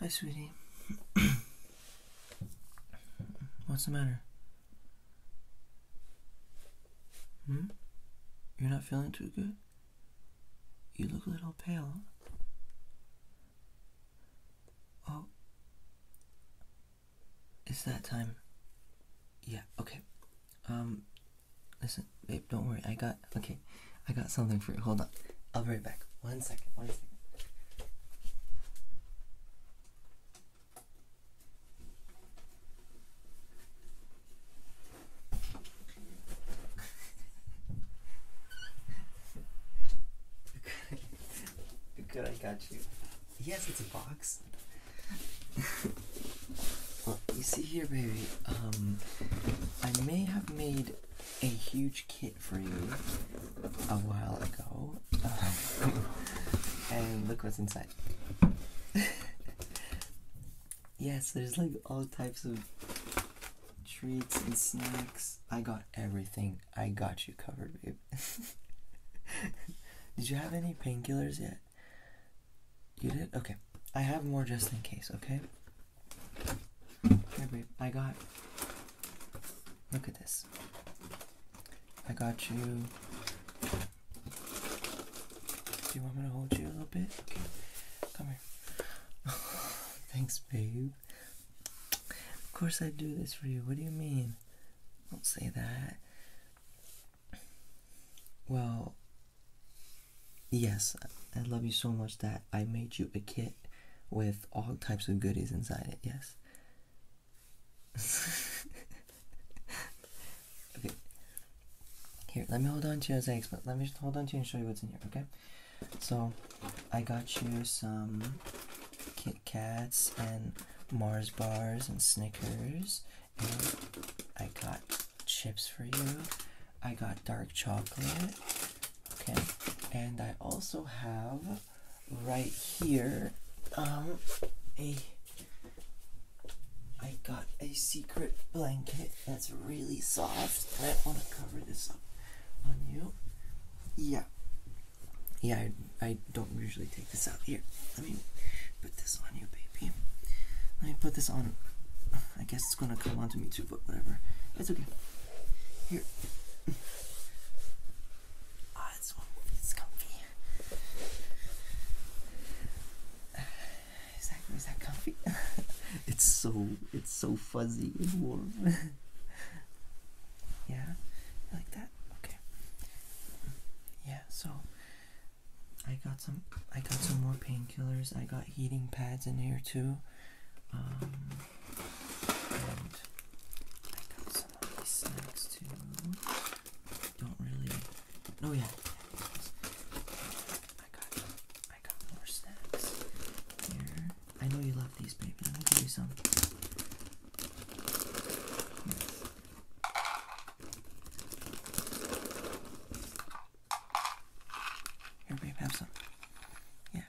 Hi, sweetie. What's the matter? Hmm? You're not feeling too good? You look a little pale. Oh. It's that time. Yeah, okay. Um, listen, babe, don't worry. I got okay, I got something for you. Hold on. I'll be right back. One second. One second. Good, I got you. Yes, it's a box. you see here, baby. Um, I may have made a huge kit for you a while ago. and look what's inside. yes, there's like all types of treats and snacks. I got everything. I got you covered, babe. did you have any painkillers yet? You did? Okay. I have more just in case, okay? Here, babe, I got. Look at this. I got you. Do you want me to hold you a little bit? come here. Thanks, babe. Of course, I do this for you. What do you mean? Don't say that. Well, Yes, I love you so much that I made you a kit with all types of goodies inside it. Yes. okay. Here, let me hold on to your eggs, but let me just hold on to you and show you what's in here, okay? So, I got you some Kit Kats and Mars bars and Snickers, and I got chips for you. I got dark chocolate. Okay. And I also have right here um a I got a secret blanket that's really soft. I want to cover this up on you. Yeah. Yeah, I, I don't usually take this out. Here, I mean, put this on you, baby. Let me put this on. I guess it's gonna come onto me too two whatever. It's okay. Here. Ah, oh, this one comfy. Is that, is that comfy? it's so it's so fuzzy and warm. yeah, like that. Okay. Yeah. So I got some I got some more painkillers. I got heating pads in here too. Um, I got some snacks too. Don't really. Oh yeah. I got. I got more snacks here. I know you love these, baby. gonna give you some. Here, babe, have some. Yeah.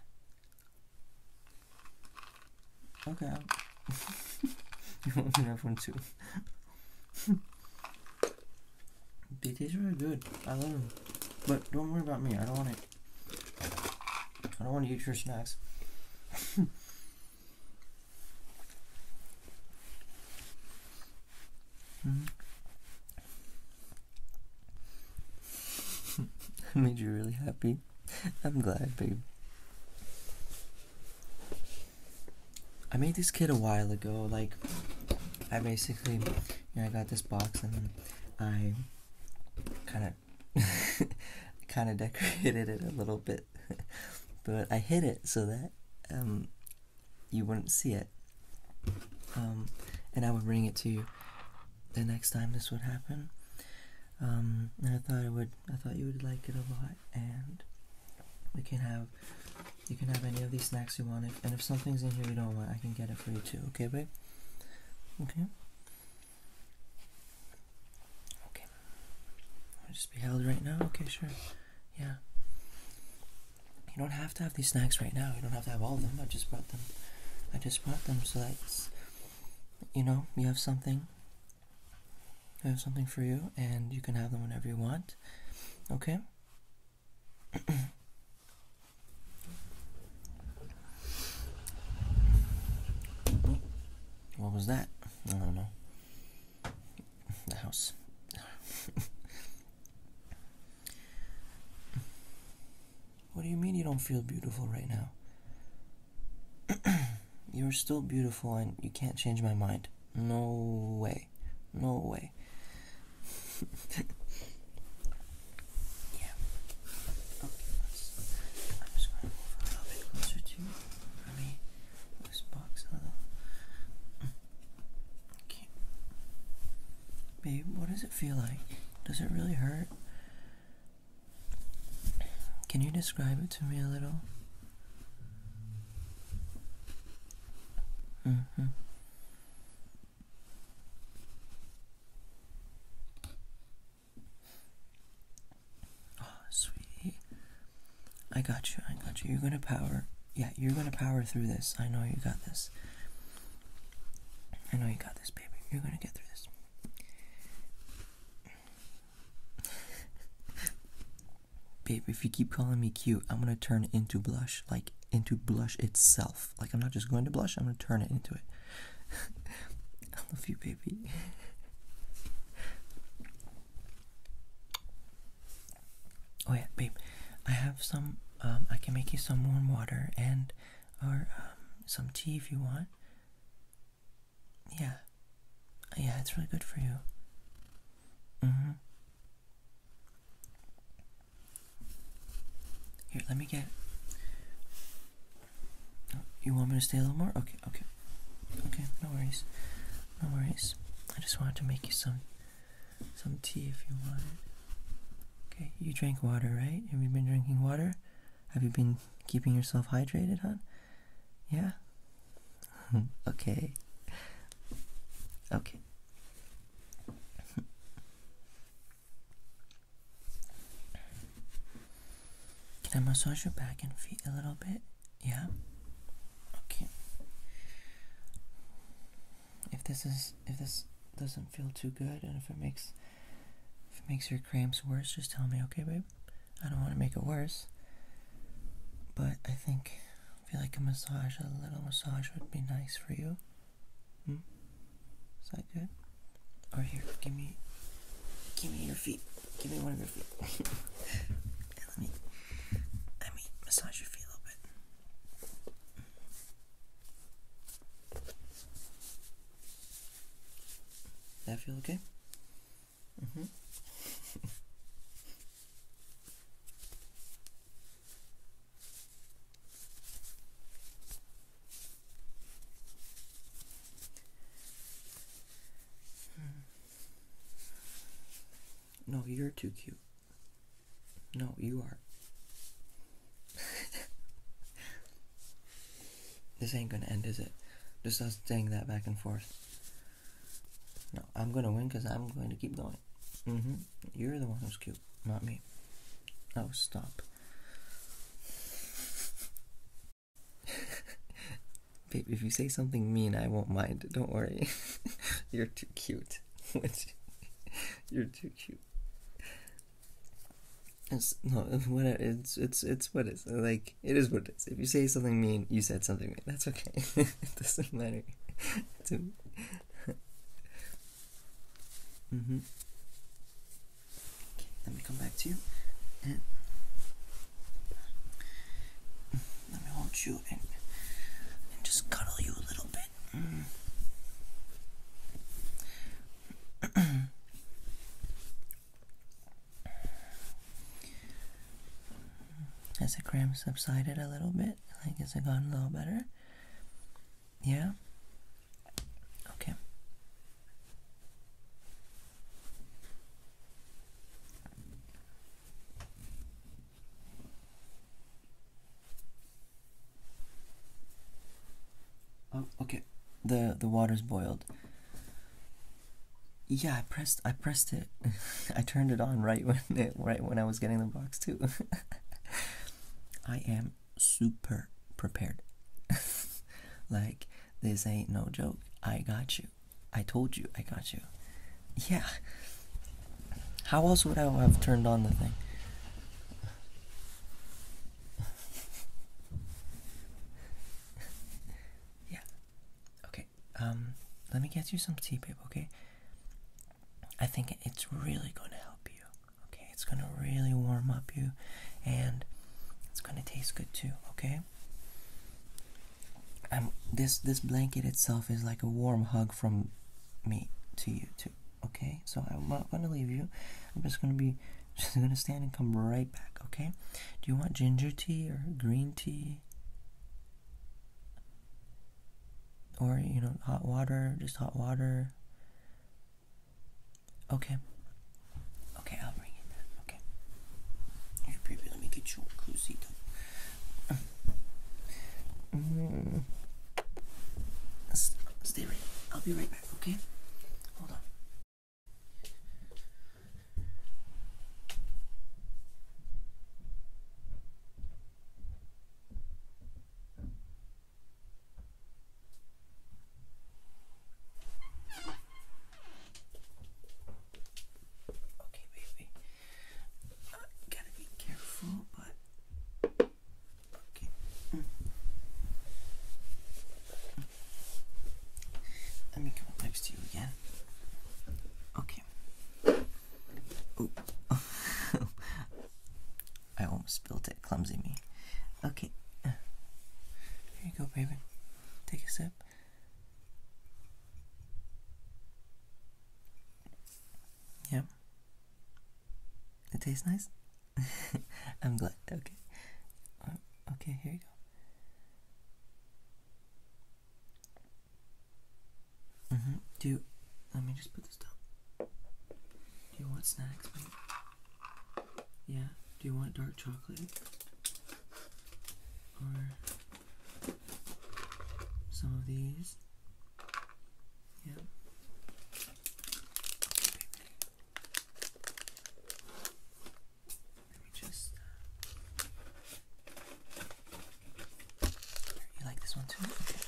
Okay. you want me to have one too? they taste really good. I love them. But don't worry about me. I don't want to. I don't want to eat your snacks. -hmm. I made you really happy. I'm glad, babe. I made this kid a while ago. Like, I basically, you know, I got this box and I kind of, kind of decorated it a little bit, but I hid it so that um, you wouldn't see it. Um, and I would bring it to you the next time this would happen. Um, and I thought I would, I thought you would like it a lot. And we can have, you can have any of these snacks you want. If, and if something's in here you don't want, I can get it for you too. Okay, babe? Okay. Okay. I'll just be held right now. Okay, sure. Yeah you don't have to have these snacks right now. You don't have to have all of them. I just brought them. I just brought them so that you know you have something. I have something for you, and you can have them whenever you want. Okay. what was that? I don't know. The house. What do you mean you don't feel beautiful right now? You're still beautiful and you can't change my mind. No way. No way. yeah. Okay, let's. I'm just going to move a little bit closer to Let me this box a little. Okay. Babe, what does it feel like? Does it really hurt? Can you describe it to me a little? Mm hmm Oh, sweetie. I got you, I got you. You're gonna power yeah, you're gonna power through this. I know you got this. I know you got this, baby. You're gonna get through this. Babe, if you keep calling me cute, I'm gonna turn into blush, like into blush itself. Like I'm not just going to blush, I'm gonna turn it into it. I love you, baby. Oh yeah, babe. I have some. Um, I can make you some warm water and, or um, some tea if you want. Yeah, yeah, it's really good for you. Mm-hmm. Here, let me get. you want me to stay a little more? Okay, okay, okay. No worries, no worries. I just wanted to make you some some tea if you want it. Okay, you drank water, right? Have you been drinking water? Have you been keeping yourself hydrated, huh? Yeah? okay. Okay. Can I massage your back and feet a little bit? Yeah? Okay if this is if this doesn't feel too good and if it makes if it makes your cramps worse, just tell me, okay, babe? I don't want to make it worse. But I think I feel like a massage, a little massage would be nice for you. Hmm? Is that good? Or here, give me give me your feet. Give me one of your feet. let me let me massage your feet a little bit. That feel okay? Mm-hmm. Hmm. no, you're too cute. No, you are. this ain't gonna end, is it? Just us saying that back and forth. No, I'm gonna win because I'm going to keep going. Mm-hmm. You're the one who's cute, not me. Oh, stop. Babe, if you say something mean, I won't mind. Don't worry. You're too cute. You're too cute. It's, no, what it's it's it's what it's like. It is what it is. If you say something mean, you said something mean. That's okay. it doesn't matter to me. mm Okay, let me come back to you. Let me hold you and, and just cuddle you a little bit. Mm. Has the cramp subsided a little bit? Like, has it gotten a little better? Yeah? Okay. Oh, okay. The the water's boiled. Yeah, I pressed I pressed it. I turned it on right when right when I was getting the box too. I am super prepared. like this ain't no joke. I got you. I told you, I got you. Yeah. How else would I have turned on the thing? yeah. Okay. Um, let me get you some tea, babe, okay? I think it's really going to help you. Okay? It's going to really warm up you and it's going to taste good too, okay? i this this blanket itself is like a warm hug from me to you too. Okay, so I'm not gonna leave you. I'm just gonna be just gonna stand and come right back. Okay, do you want ginger tea or green tea? Or you know, hot water, just hot water. Okay. Okay, I'll bring it. Okay. baby, let me get you a cozy. Mm. Stay right. I'll be right back, okay? Hold on. Okay, baby gotta be careful, but okay. Let me come next to you again. Okay. Ooh. I almost spilled it. Clumsy me. Okay. Here you go, baby. Take a sip. Yeah. It tastes nice? I'm glad. Okay. okay, here you go. Mm-hmm. Do you, let me just put this down. Do you want snacks, Yeah. Do you want dark chocolate? Or some of these. Yeah. Let me just. Uh, you like this one too? Okay.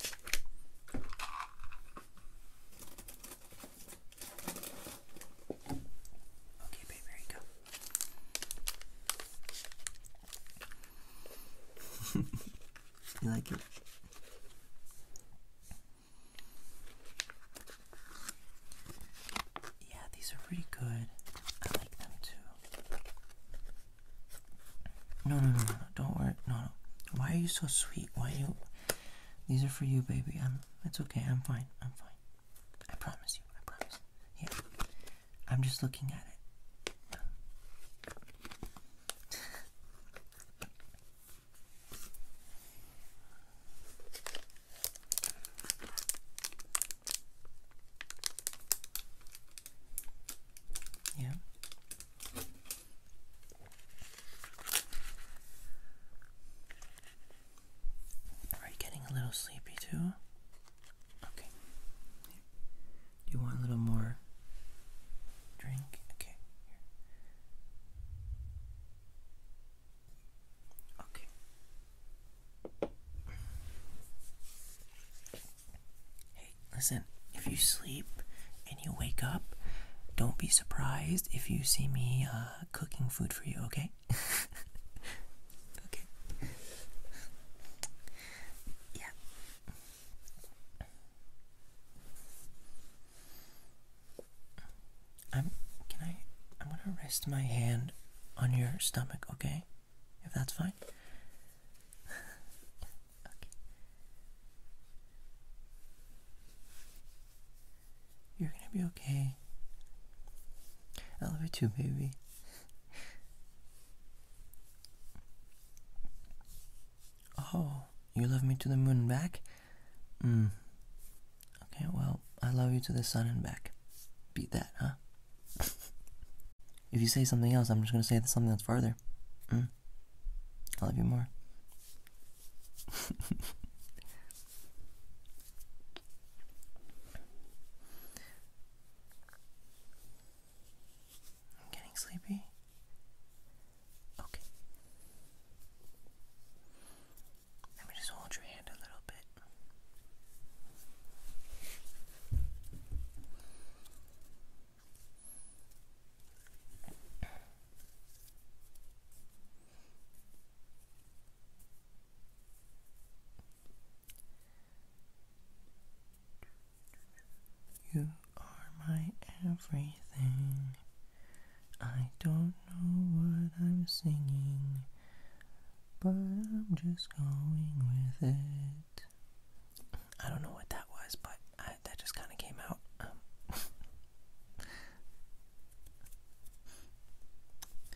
Okay, go. I like it? Yeah, these are pretty good. I like them too. no, no, no, no. Don't worry. No, no. Why are you so sweet? Why you? These are for you, baby. I'm. It's okay. I'm fine. I'm fine. I promise you. I promise. Here. I'm just looking at it. Yeah. Are you getting a little sleepy too? Okay. Do you want a little more drink? Okay. Okay. Hey, listen, if you sleep and you wake up, don't be surprised if you see me uh, cooking food for you, okay? okay. Yeah. I'm can I I'm gonna rest my hand on your stomach, okay? If that's fine. okay. You're gonna be okay. I love you too, baby. Oh, you love me to the moon and back? Mm. Okay, well, I love you to the sun and back. Beat that, huh? if you say something else, I'm just gonna say something that's farther. Mm. I love you more. I'm getting sleepy. Okay. Let me just hold your hand a little bit. You are my everything. I don't know what I'm singing, but I'm just going with it. I don't know what that was, but that just kind of came out. Um.